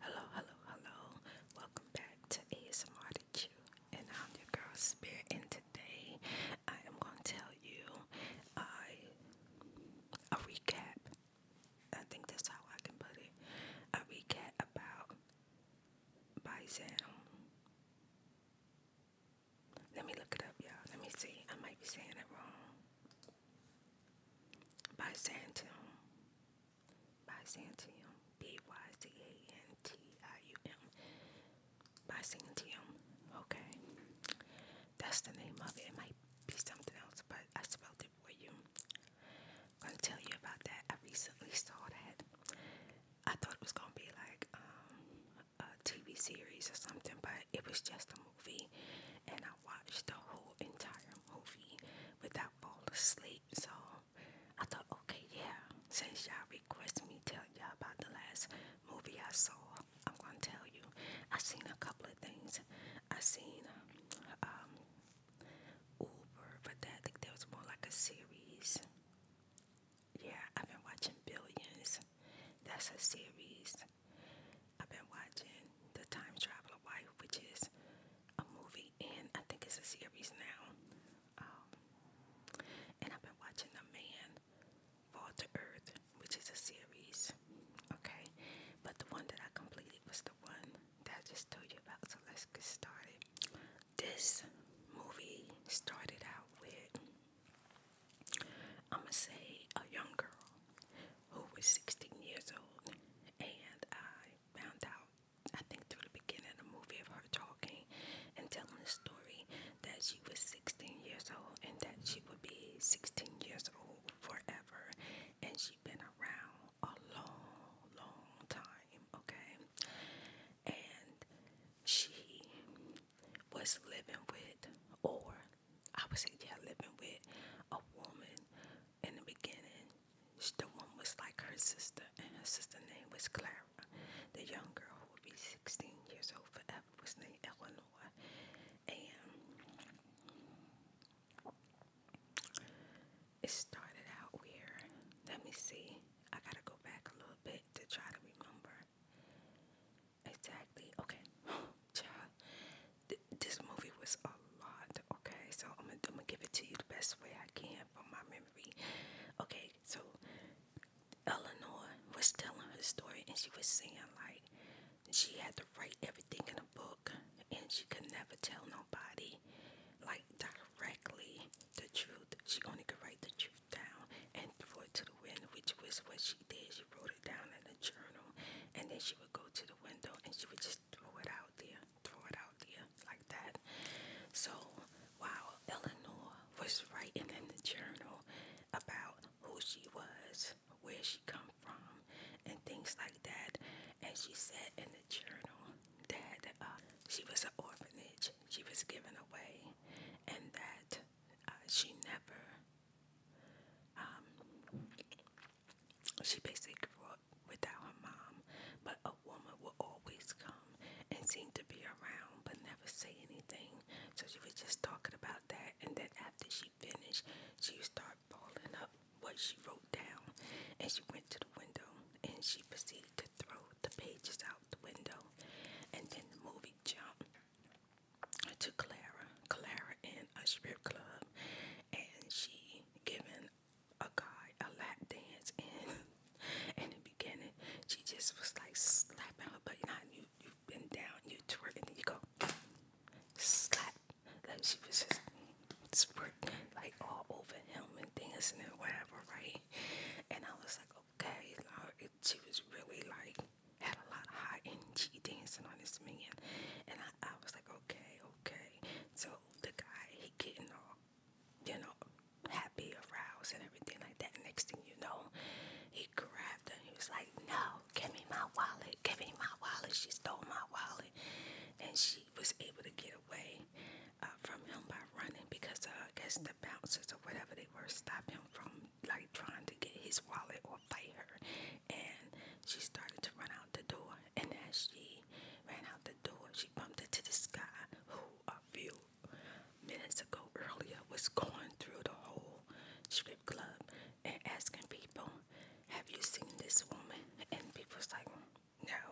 Hello, hello, hello. Welcome back to ASMR to you. And I'm your girl Spirit. And today I am going to tell you a recap. I think that's how I can put it. A recap about Bizam. Let me look it up, y'all. Let me see. I might be saying it wrong by Santium. By Santium. B Y Z A N T I U M. By Santium. Okay. That's the name of it. It might be something else, but I spelled it for you. I'm gonna tell you about that. I recently saw that. I thought it was gonna be like um, a TV series or something, but it was just a movie, and I watched the whole entire movie without falling asleep. So I thought, okay, yeah, since y'all requested me tell y'all about the last movie I saw, I'm gonna tell you. I seen a couple of things. I seen um, Uber, but that I think there was more like a series. Yeah, I've been watching Billions. That's a series. I've been watching The Time Traveler Wife, which is a movie and I think it's a series now. Um, and I've been watching The Man Fall to Earth, which is a series. Okay, but the one that I completed was the one that I just told you about. So let's get started. This movie started out with I'm gonna say a young girl who was 16 years old, and I found out, I think, through the beginning of the movie of her talking and telling the story that she was 16 years old and that she would be 16 years old forever, and she'd been around a long, long time, okay? And she was living with or I was yeah living with a woman in the beginning. She, the one was like her sister, and her sister name was Clara. The young girl who would be 16 years old forever was named Eleanor. And it started out where, let me see, I gotta go back a little bit to try to remember. Exactly. Okay. Child, this movie was a lot. Okay. So I'm gonna, I'm gonna give it to you the best way I can from my memory. Okay. So Eleanor was telling her story and she was saying like she had to write everything in a book and she could never tell nobody like directly the truth. She only could write the truth down and throw it to the wind, which was what she she did. She wrote it down in a journal, and then she would go to the window and she would just throw it out there, throw it out there like that. So while Eleanor was writing in the journal about who she was, where she come from, and things like that, and she said in the journal that uh, she was an orphanage, she was given away, and that uh, she never um, she basically grew up without her mom, but a woman will always come and seem to be around but never say anything. So she was just talking about that, and then after she finished, she would start balling up what she wrote down, and she went to the window and she proceeded to throw the pages out the window, and then the movie jumped to Clara. Clara in a strip club, and she giving a guy a lap dance. And in the beginning, she just was like slapping her butt. You know, you you've been down, you twerk, and then you go slap. Like she was just spurt like all over him and things and whatever, right? And I was like, okay, like, it, she was really like had a lot high energy dancing on this man, and I, was like, okay, okay. So the guy he getting all, you know, happy, aroused, and everything like that. Next thing you know, he grabbed her. And he was like, no, give me my wallet, give me my wallet. She stole my wallet, and she was able to get away uh, from him by running because uh, I guess the bouncers or whatever they were stopping from like trying to get his wallet or fight her. And she started to run out the door. And as she ran out the door, she bumped into this guy who a few minutes ago earlier was going through the whole strip club and asking people, Have you seen this woman? And people's like, No.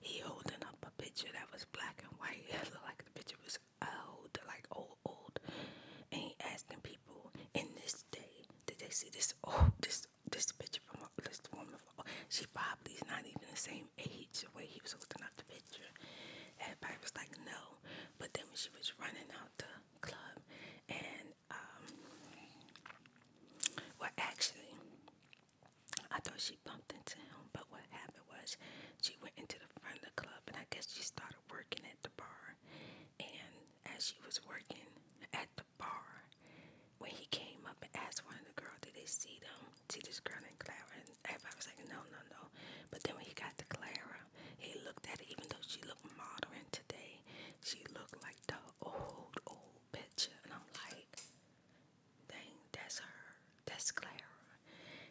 He holding up a picture that was black and white. It looked like the picture was old, like old old and asking people in this day did they see this oh this this picture from this woman from, oh, she probably is not even the same age the way he was looking up the picture. Everybody was like no. But then when she was running out the club and um, well actually I thought she bumped into him, but what happened was she went into the front of the club and I guess she started working at the bar and as she was working at the bar, when he came up and asked one of the girls, did they see them, see this girl named Clara? everybody was like, no, no, no. But then when he got to Clara, he looked at her, even though she looked modern today, she looked like the old, old bitch. And I'm like, dang, that's her. That's Clara.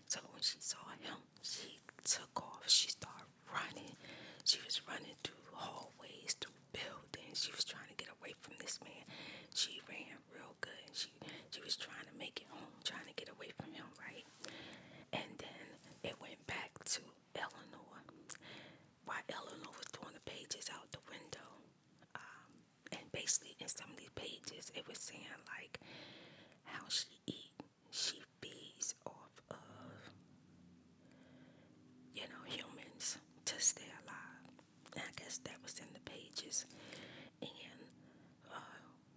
So when she saw him, she took off. She started running. She was running through hallways, through buildings. She was trying to get away from this man. She ran real good. She she was trying to make it home, trying to get away from him, right? And then it went back to Eleanor. While Eleanor was throwing the pages out the window, um, and basically in some of these pages, it was saying like how she eat she feeds off of you know humans to stay alive. I guess that was in the pages. And uh,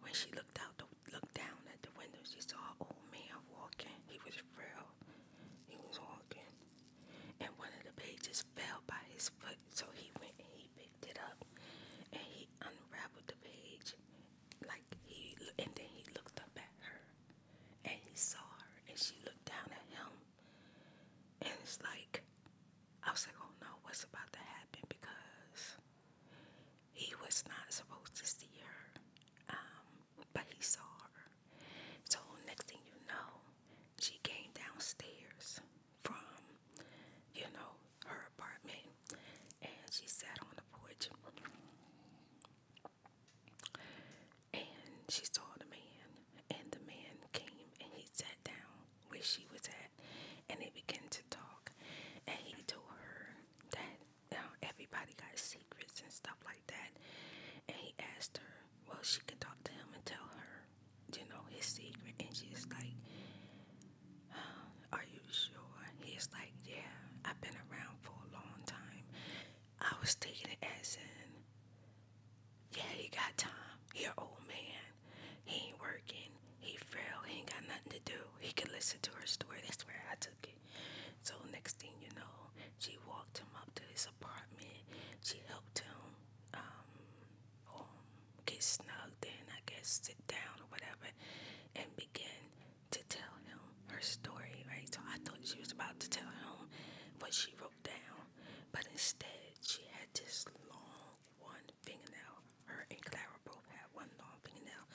when she looked out, the, looked down at the window, she saw an old man walking. He was frail. He was walking, and one of the pages fell by his foot. So he went and he picked it up, and he unraveled the page, like he and then he looked up at her and he saw her and she looked down at him and it's like I was like, oh no, what's about to happen because he was not supposed to see her, um, but he saw her. So next thing you know, she came downstairs from, you know, her apartment and she sat on the porch and she saw the man, and the man came and he sat down where she was at, and they began to talk, and he told her that you uh, know, everybody got secrets and stuff like that, and he asked her, well, she could talk to him and tell her, you know, his secret, and she's like, are you sure? He's like, Yeah, I've been around for a long time. I was taking it as in, Yeah, he got time. He an old man. He ain't working. He frail. He ain't got nothing to do. He could listen to her story. That's where I took it. So next thing you know, she walked him up to his apartment. She helped him um, um get snugged in, I guess, sit down or whatever, and begin to tell him her story, right? So I thought she was about to tell him what she wrote down, but instead she had this long one fingernail. Her and Clara both had one long fingernail.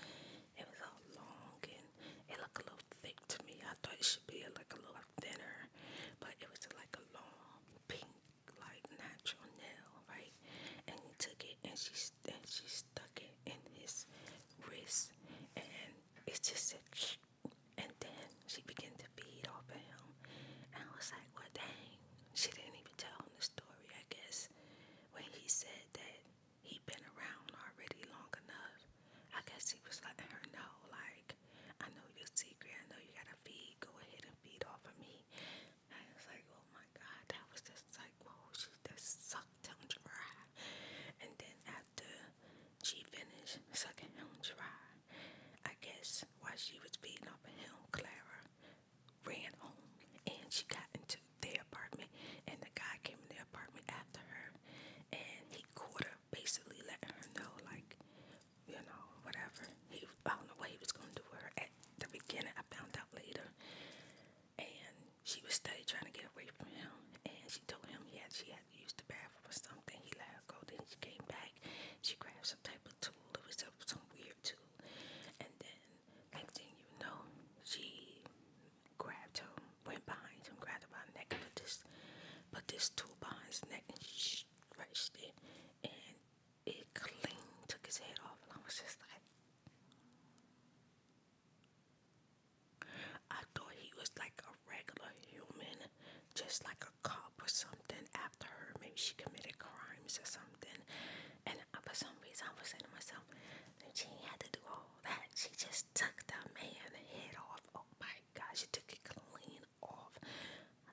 It was long and it looked a little thick to me. I thought it should be like a little thinner, but it was like a long pink, like natural nail, right? And he took it and she and she stuck it in his wrist, and it just said, and then she began to feed off of him. And I was like, well, dang, she didn't even tell him the story, I guess. When he said that he'd been around already long enough, I guess he was letting her know, like, I know your secret, I know you gotta feed, go ahead and feed off of me. And I was like, oh my god, that was just like like, she just sucked him dry. And then after she finished sucking him dry, I guess while she was feeding off of him, Clara ran home and she got into their apartment and the guy came in the apartment after her and he caught her basically letting her know like you know whatever he I don't know what he was gonna do with her at the beginning I found out later and she was steady trying to get away from him, and she told him yeah she had to use the bathroom or something. He let her go. Then she came back. She grabbed some type of tool. It was some weird tool. And then, next thing you know, she grabbed him, went behind him, grabbed him by the neck, put this, put this tool behind his neck, and she stretched it. And it clean took his head off. And I was just like, I thought he was like a regular human, just like a cop or something. After her, maybe she committed crimes or something. And for some reason, I was saying to myself, she had to do all that. She just took that man's head off. Oh my God, she took it clean off.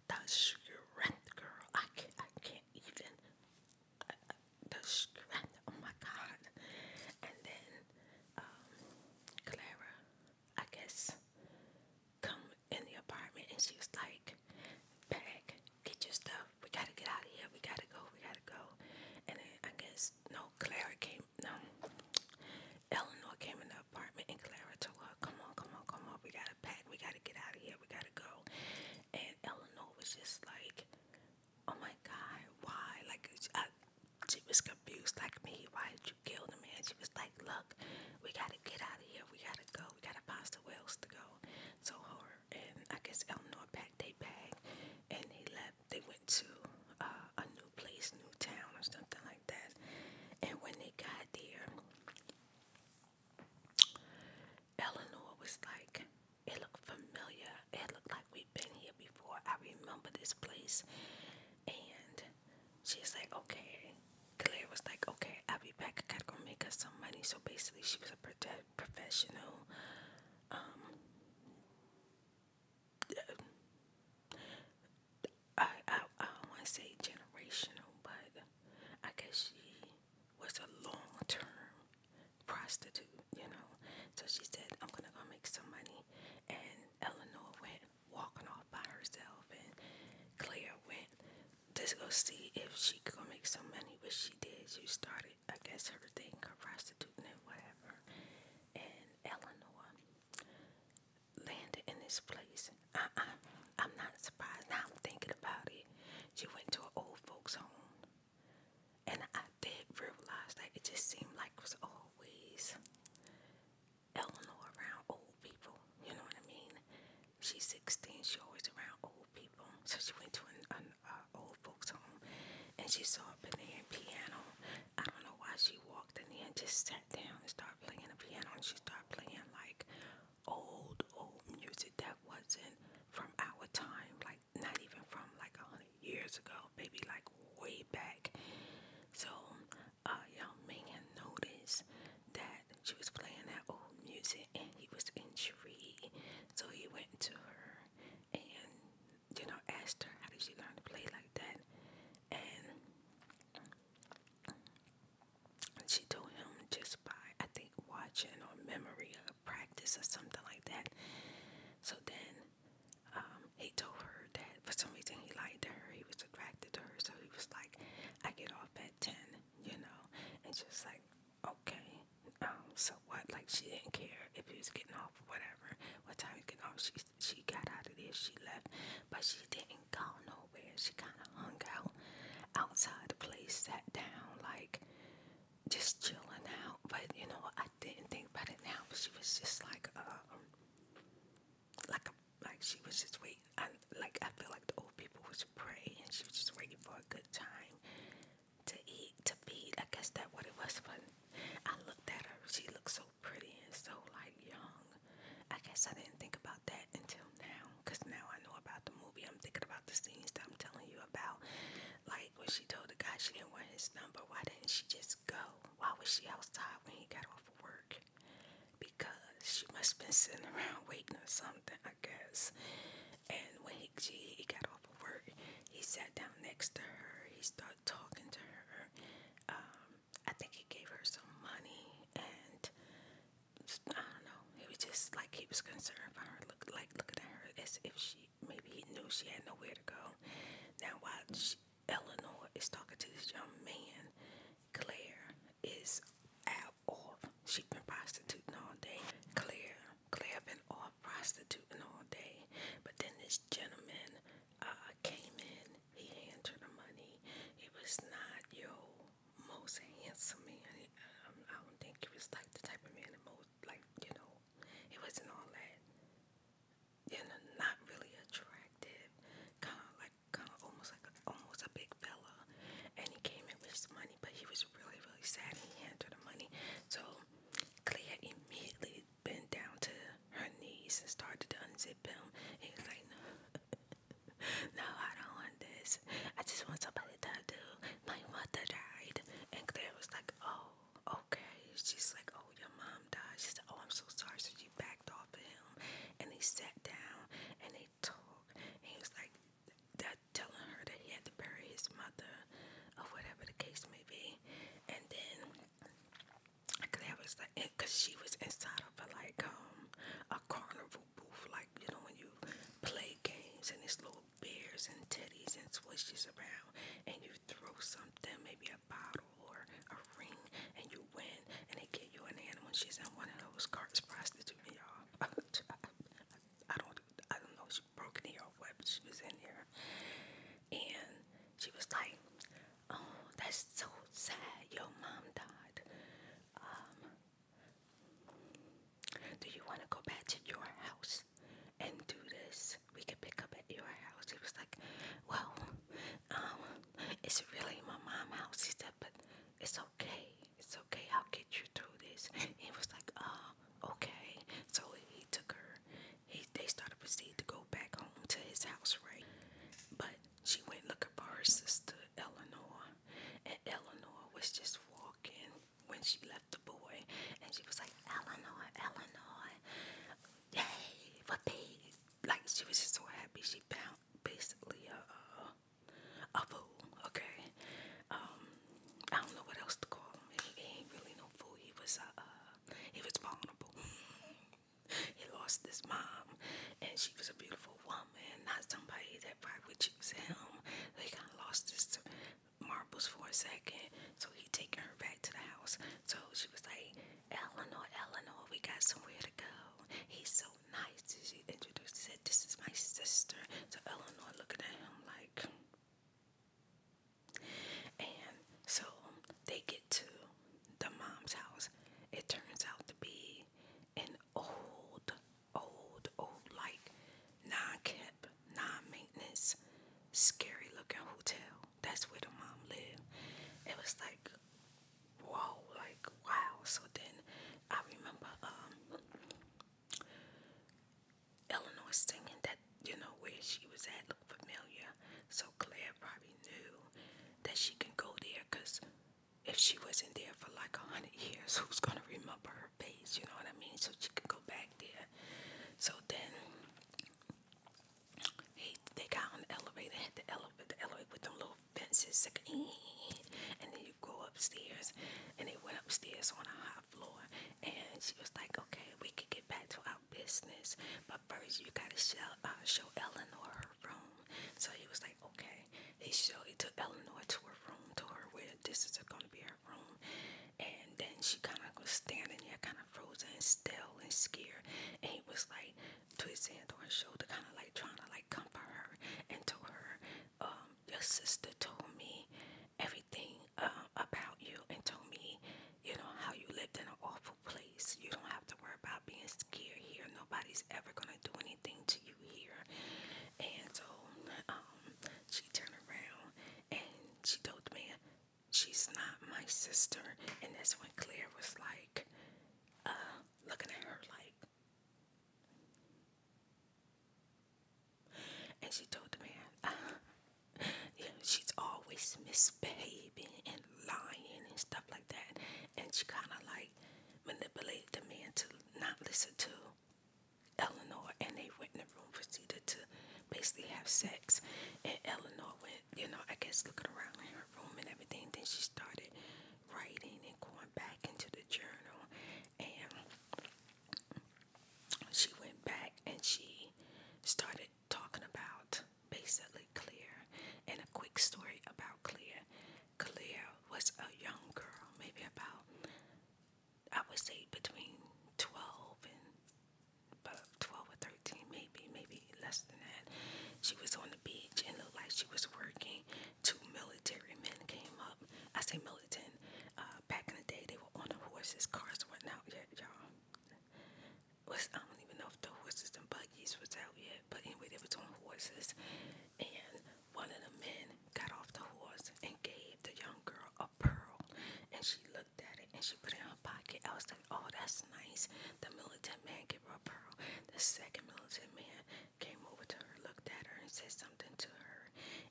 The strength, girl. I can't. I can't even the Oh my God! And then um, Clara, I guess, come in the apartment, and she was like, "Pack, get your stuff. We gotta get out of here. We gotta go. We gotta go." And then I guess no, Clara came. No, Eleanor came in the apartment, and Clara told her, "Come on, come on, come on. We gotta pack. We gotta get out of here. We gotta go." And Eleanor was just like, oh my God, why? Like, uh, she was confused like me. Why did you kill the man? She was like, look, we got to get out of here. We got to go. We got to find somewhere else to go. So her and I guess Eleanor packed their bag and they left. They went to uh, a new place, new town or something like that. And when they got there, Eleanor was like, it looked familiar. It looked like we've been here before. I remember this place. And she's like, okay. Claire was like, okay, I'll be back. I gotta go make us some money. So basically, she was a pro professional. Um, I, I, I don't want to say generational, but I guess she was a long term prostitute, you know. So she said, I'm gonna go make some money. And Eleanor went walking off by herself, and Claire went just go see if she could make some money, which she did. She started, I guess, her thing, her prostituting, and whatever. And Eleanor landed in this place. Uh uh i am not surprised. Now I'm thinking about it. She went to an old folks' home and I did realize that it just seemed like it was always Eleanor around old people. You know what I mean? She's 16. She's always around old people. So she went to an, uh, old folks home and she saw a banana piano. I don't know why she walked in there and just sat down and started playing the piano. And she started playing like old, old music that wasn't from our time, like not even from like a hundred years ago, maybe like way back. So uh young man noticed that she was playing that old music and he was intrigued. So he went to her and you know asked her how did she learn to play like that and she told him just by I think watching or memory practice or something like that. So then um, he told her that for some reason he liked her, he was attracted to her. So he was like, I get off at 10, you know, and she was like, okay, um, so what? Like, she didn't care if he was getting off whatever, what time he was getting off. She, she got out of there, she left, but she didn't go nowhere. She kind of hung out outside the place, sat down, like, just chilling out. But you know, I didn't think about it now. But she was just like, uh, like, a, like she was just waiting. I, like I feel like the old people was praying, and she was just waiting for a good time to eat, to feed. I guess that what it was. But I looked at her. She looked so pretty and so like young. I guess I didn't think about that until now. Cause now I know about the movie. I'm thinking about the scenes that I'm telling you about like when she told the guy she didn't want his number, why didn't she just go? Why was she outside when he got off of work? Because she must have been sitting around waiting or something, I guess. And when he, she, he got off of work, he sat down next to her. He started talking to her. Um, I think he gave her some money and I don't know. He was just like he was concerned about her, look like looking at her as if she maybe he knew she had nowhere to go. Now while Eleanor is talking to this young man, Claire is out off. She's been prostituting all day. Claire, Claire been off prostituting all day. But then this gentleman uh, came in. He handed her the money. He was not your most handsome man. Um, I don't think he was like the type of man that most like you know, it wasn't all that. You know, not really attractive. Kind of like, kind of almost like, almost a big fella. And he came in with his money, but he was really, really sad. he handed her the money, so Clea immediately bent down to her knees and started to unzip him. And he was like, no. No, I don't want this. I just want somebody did I do? My mother died. And Claire was like, oh, okay. She's like, oh, your mom died. She said, oh, I'm so sorry. So she backed off of him. And they sat down and they talked. And he was like, that telling her that he had to bury his mother or whatever the case may be. And then Claire was like, because she was inside of a, like um, a carnival booth, like, you know, when you play games and this little beers and teddies and swishes around and you throw something, maybe a bottle or a ring, and you win and they get you an animal. She's in one of those carts prostitute, y'all. I don't I don't know, she broke in here or what, but she was in here. And she was like, Oh, that's so sad. Your mom died. Um, do you want to go back to your house and do this? We can pick up at your house. He was like, Well, um, it's really my mom's house. He said, But it's okay. It's okay. I'll get you through this. He was like, Oh, okay. So he took her. He, they started to proceed to go back home to his house, right? But she went looking for her sister, Eleanor. And Eleanor was just walking when she left the boy, and she was like, Eleanor, Eleanor, yay, for pig. Like, she was just so happy she found basically a, a, fool, okay? Um, I don't know what else to call him. He, ain't really no fool. He was, uh, uh he was vulnerable. he lost his mom, and she was a beautiful woman, not somebody that probably would him. They kind of lost his marbles for a second. So he taking her back to the house. So she was like, Eleanor, Eleanor, we got somewhere to go. He's so nice. She introduced, said, This is my sister. So Eleanor looking at him like, and so they get to the mom's house. It turns out to be an old old, old, like non-kept, non-maintenance, scary-looking hotel. That's where the mom lived. It was like, whoa, like wow. So then I remember um, Eleanor singing that, you know, where she was at looked familiar. So Claire probably knew that she can go there because if she wasn't there for like a hundred years, who's gonna remember her? face? you know what I mean? So she could go back there. So then he, they got on the elevator, Hit the elevator, the elevator with them little fences, like, and then you go upstairs. And they went upstairs on a high floor, and she was like, "Okay, we can get back to our business, but first you gotta show, uh, show Eleanor her room." So he was like, "Okay." He showed he took Eleanor to her room, to her where this is gonna be her room and then she kind of was standing there kind of frozen and still and scared and he was like twisting on her shoulder kind of like trying to like comfort her and told her um your sister told me everything uh, about you and told me you know how you lived in an awful place you don't have to worry about being scared here nobody's ever gonna do anything to you here and so um, she turned around and she told the man, She's not my sister. And that's when Claire was like, uh, looking at her like. And she told the man, uh, she's always misbehaving and lying and stuff like that. And she kind of like manipulated the man to not listen to Eleanor and they went in the room proceeded to basically have sex and Eleanor went, you know, I guess looking around in her room and everything. Then she started writing and going back into the journal and she went back and she started talking about basically Clear and a quick story about Clear. Clear was a young girl, maybe about I would say between 12 and about 12 or 13, maybe, maybe less than that. She was on the beach and looked like she was working. Two military men came up. I say militant. Uh, back in the day, they were on the horses, cars weren't out yet, y'all. Was I don't even know if the horses and buggies was out yet, but anyway, they were on horses, and one of the men got off the horse and gave the young girl a pearl, and she looked at it and she put it in her pocket. I was like, "Oh, that's nice." The militant man gave her a pearl. The second militant man came over to her, looked at her, and said something to her.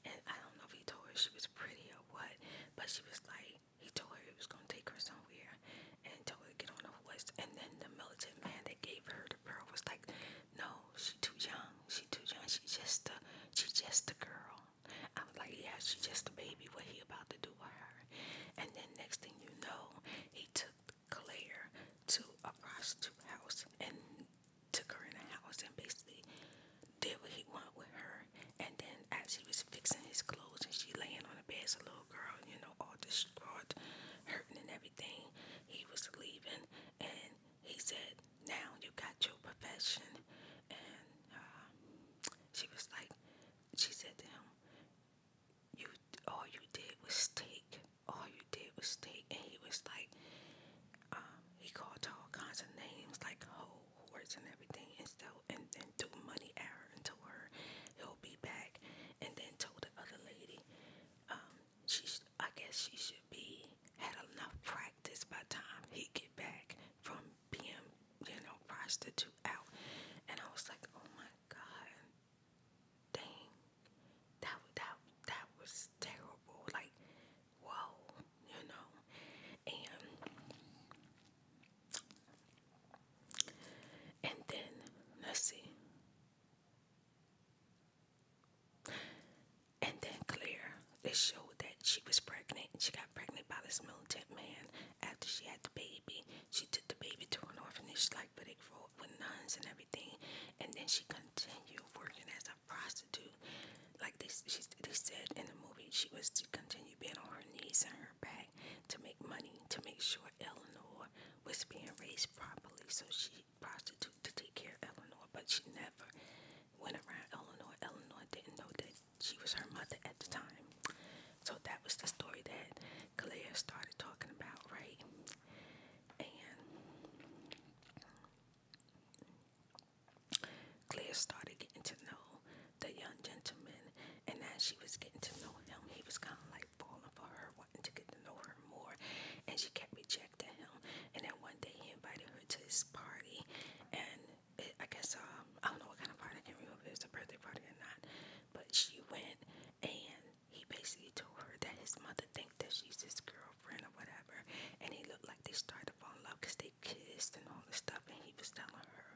And I don't know if he told her she was pretty or what, but she was like, he told her he was gonna take her somewhere and told her to get on the horse. And then the militant man that gave her the pearl was like, no, she too young. She too young. She just a, she just a girl. I was like, yeah, she just a baby. What he about to do with her? And then next thing you know, he took Claire to a prostitute house and took her in the house and basically did what he want with her. And then as he was fixing his clothes and she laying on the bed as a little girl, you know, all distraught, hurting and everything, he was leaving and he said, now you got your profession. And uh, she was like, she said to him, you all you did was take. All you did was take. And he was like, um, he called all kinds of names like hoe, horse, and everything. And so, and then threw money at her and told her he'll be back. And then told the other lady, um, she, I guess she should be had enough practice by time he get back from being, you know, prostitute out. And I was like, oh my god, dang, that that that was terrible. Like, whoa, you know, and and then let's see. And then Claire, they showed that she was pregnant. She got pregnant by this militant man after she had the baby. She took the baby to an orphanage, like, for it grew up with nuns and everything. And then she continued working as a prostitute. Like they, she, they said in the movie, she was to continue being on her knees and her back to make money to make sure Eleanor was being raised properly. So she prostitute to take care of Eleanor, but she never went around Eleanor. Eleanor didn't know that she was her mother at the time. So that was the story that Claire started talking about, right? And Claire started getting to know the young gentleman, and as she was getting to know him, he was kind of like falling for her, wanting to get to know her more, and she kept rejecting rejected him. And then one day he invited her to his party, and it, I guess um, I don't know what kind of party. I can't remember if it was a birthday party or not. But she went, and he basically told her that his mother thinks that she's his girlfriend or whatever. And he looked like they started to fall in love because they kissed and all this stuff. And he was telling her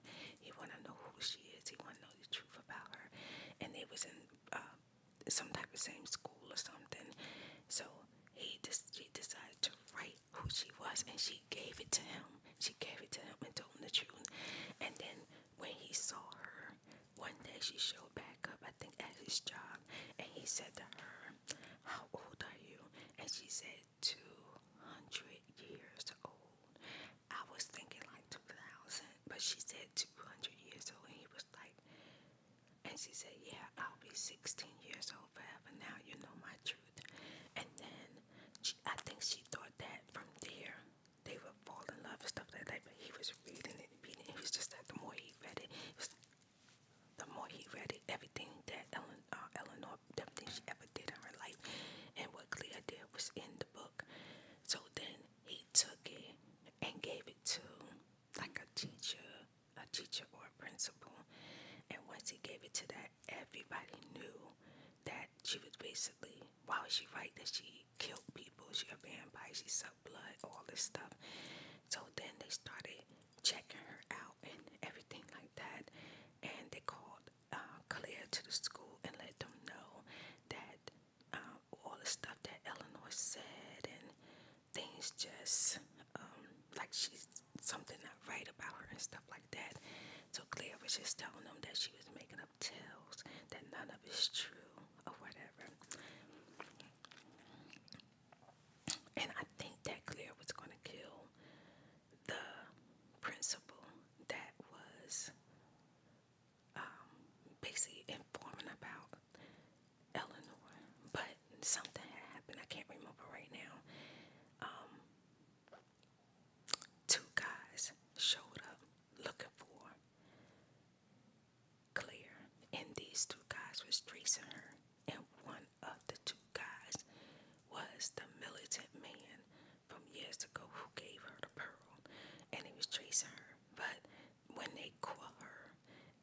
he want to know who she is. He want to know the truth about her. And they was in uh, some type of same school or something. So he she decided to write who she was, and she gave it to him. She gave it to him and told him the truth. And then when he saw her, one day she showed back up, I think, at his job, and he said to her, "How old are you?" And she said, 200 years old." I was thinking like 2,000, but she said 200 years old, and he was like, and she said, Yeah, I'll be 16 years old forever now. You know my truth. And then she, I think she thought that from there they would fall in love and stuff like that. But he was reading it, reading it. He was just like, the more he read it, the more he read it, everything that Ellen, uh, Eleanor, everything she ever did in her life, and what Clea did was in the book. So then he took it and gave it to like a teacher a teacher or a principal. And once he gave it to that, everybody knew that she was basically, why was she right that she killed people? She a vampire, she sucked blood, all this stuff. So then they started checking her out and everything like that. And they called uh, Claire to the school and let them know that um, all the stuff that Eleanor said and things just um, like she's something not right about her and stuff like that. So Claire was just telling them that she was making up tales, that none of it's true or whatever. And I think that Claire was going to kill the principal that was um, basically informing about Eleanor, but something happened. I can't remember right now. Um, two guys showed up looking for Claire, and these two guys was tracing her, and one of the two guys was the militant man from years ago who gave her the pearl, and he was tracing her, but when they caught her,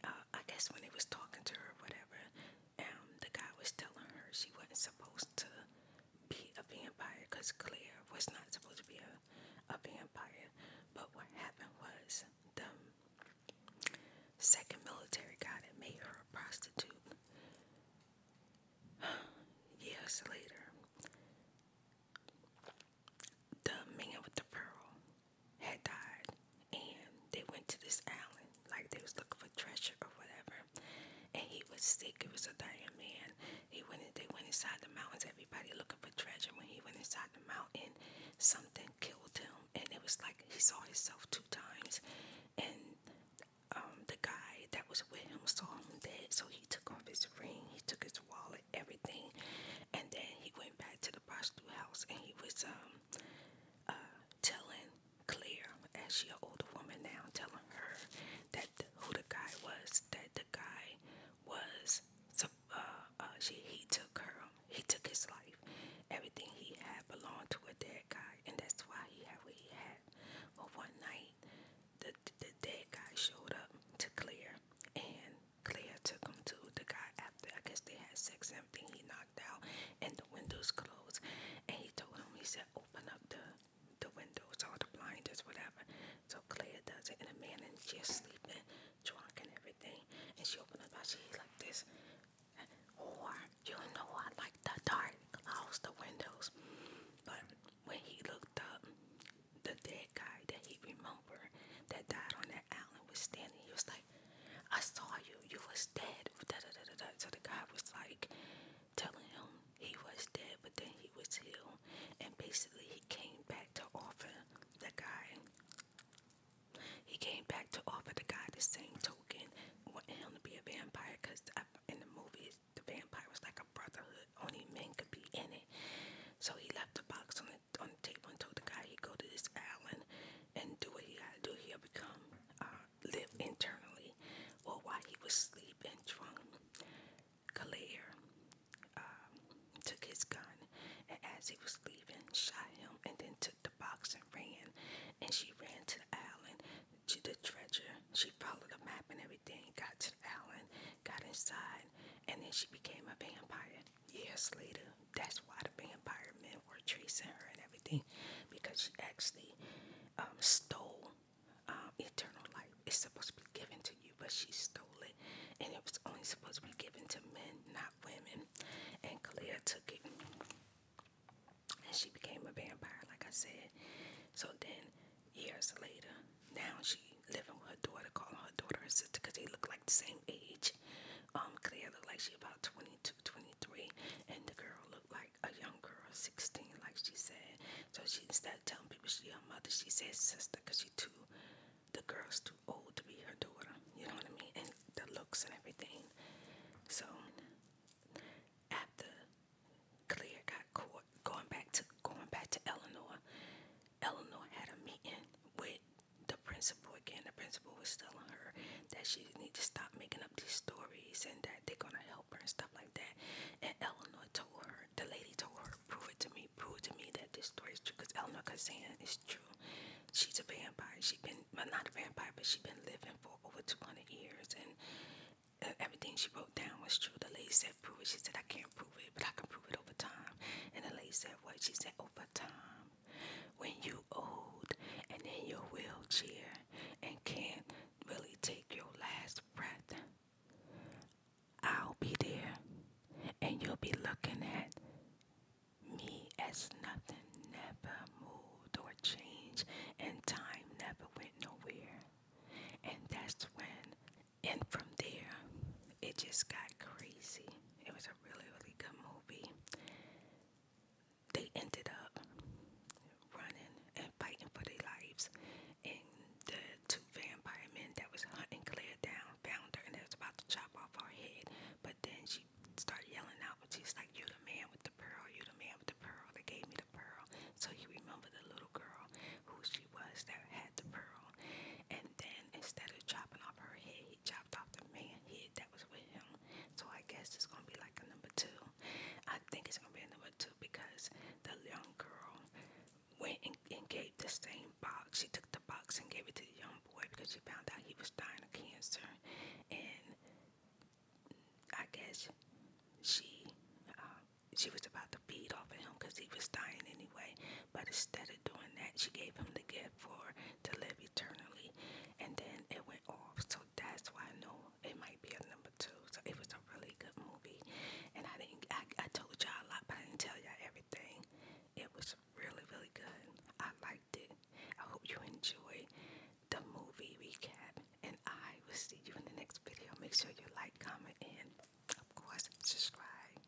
uh, I guess when they was talking to her, whatever, um, the guy was telling her she wasn't supposed to be a vampire because Claire was not supposed to be a, a vampire. But what happened was the second military guy that made her a prostitute years later, the man with the pearl had died and they went to this island like they was looking for treasure or whatever and he was sick it was a dying man he went they went inside the mountains everybody looking for treasure when he went inside the mountain something killed him and it was like he saw himself two times and um, the guy that was with him saw him dead so he took off his ring he took his wallet everything and then he went back to the prostitute house and he was um, uh, telling Claire, as she an older woman now, telling her that the, who the guy was, that the guy was, uh, uh, she he took her, he took his life, everything he had belonged to a dead guy, and that's why he had what he had. But one night, the the, the dead guy showed up to Claire, and Claire took him to the guy after I guess they had sex, everything he knocked out and the windows closed. And he told him, he said, open up the the windows or the blinders, whatever. So Claire does it and the man and she's sleeping, drunk and everything. And she opened up her she like this. Or oh, you know what like the dark clouds, the windows. But when he looked up, the dead guy that he remembered that died on that island was standing, he was like I saw you, you was dead. So the guy was like telling him he was dead, but then he was healed. And basically, he came back to offer the guy. He came back to offer the guy the same token, wanting him to be a vampire because in the movies, the vampire was like a brotherhood. Only men could be in it. So he left the box on the on the table and told the guy he go to this island and do what he gotta do. He'll become uh, live internally. Or while he was sleeping drunk, Claire um, took his gun and as he was leaving, shot him and then took the box and ran. And she ran to the island. to the treasure. She followed the map and everything. Got to the island. Got inside. And then she became a vampire years later. That's why the vampire men were chasing her and everything, because she actually um, stole um, eternal life. It's supposed to be given to you, but she stole it, and it was only supposed to be given to men, not women. And Claire took it, and she became a vampire, like I said. So then, years later, now she living with her daughter, calling daughter and because they look like the same age. Um, Claire looked like she about 22, 23, and the girl looked like a young girl, 16, like she said. So she instead of telling people she her mother, she says sister because she too, the girl's too old to be her daughter. You know what I mean? And the looks and everything. So after Claire got caught, going back to going back to Eleanor, Eleanor had a meeting with the principal again. The principal was telling her that she need to stop making up these stories and that they're gonna help her and stuff like that. And Eleanor told her, the lady told her, prove it to me, prove to me that this story is true. Cause Eleanor kept saying it's true. She's a vampire. She's been not a vampire, but she been living for over 200 years and. Uh, everything she wrote down was true. The lady said, Prove it. She said, I can't prove it, but I can prove it over time. And the lady said, What? She said, Over time when you old and in your wheelchair and can't really take your last breath. I'll be there and you'll be looking at me as nothing never moved or changed and time never went nowhere. And that's when and from there it just got crazy. It was was a really, really good movie. They ended up running and fighting for their lives, and the two vampire men that was hunting Claire down found her, and they was about to chop off her head. But then she started yelling out, and she's like, "You the man with the pearl! You the man with the pearl! They gave me the pearl." So he remembered the little girl who she was that had the pearl, and then instead of chopping off her head, he chopped off the man's head that was with him. So I guess it's gonna be like a number two. I think it's gonna be a number two because the young girl went and, gave the same box. She took the box and gave it to the young boy because she found out he was dying of cancer. And I guess she uh, she was about to beat off of him because he was dying anyway. But instead of doing that, she gave him the gift for to live eternally, and then it went off. So that's why I know it might be a number two. So it was a really good movie, and I didn't. I, I told y'all a lot, but I didn't tell y'all everything. It was really, really good. I liked it. I hope you enjoyed the movie recap, and I will see you in the next video. Make sure you like, comment, and of course subscribe.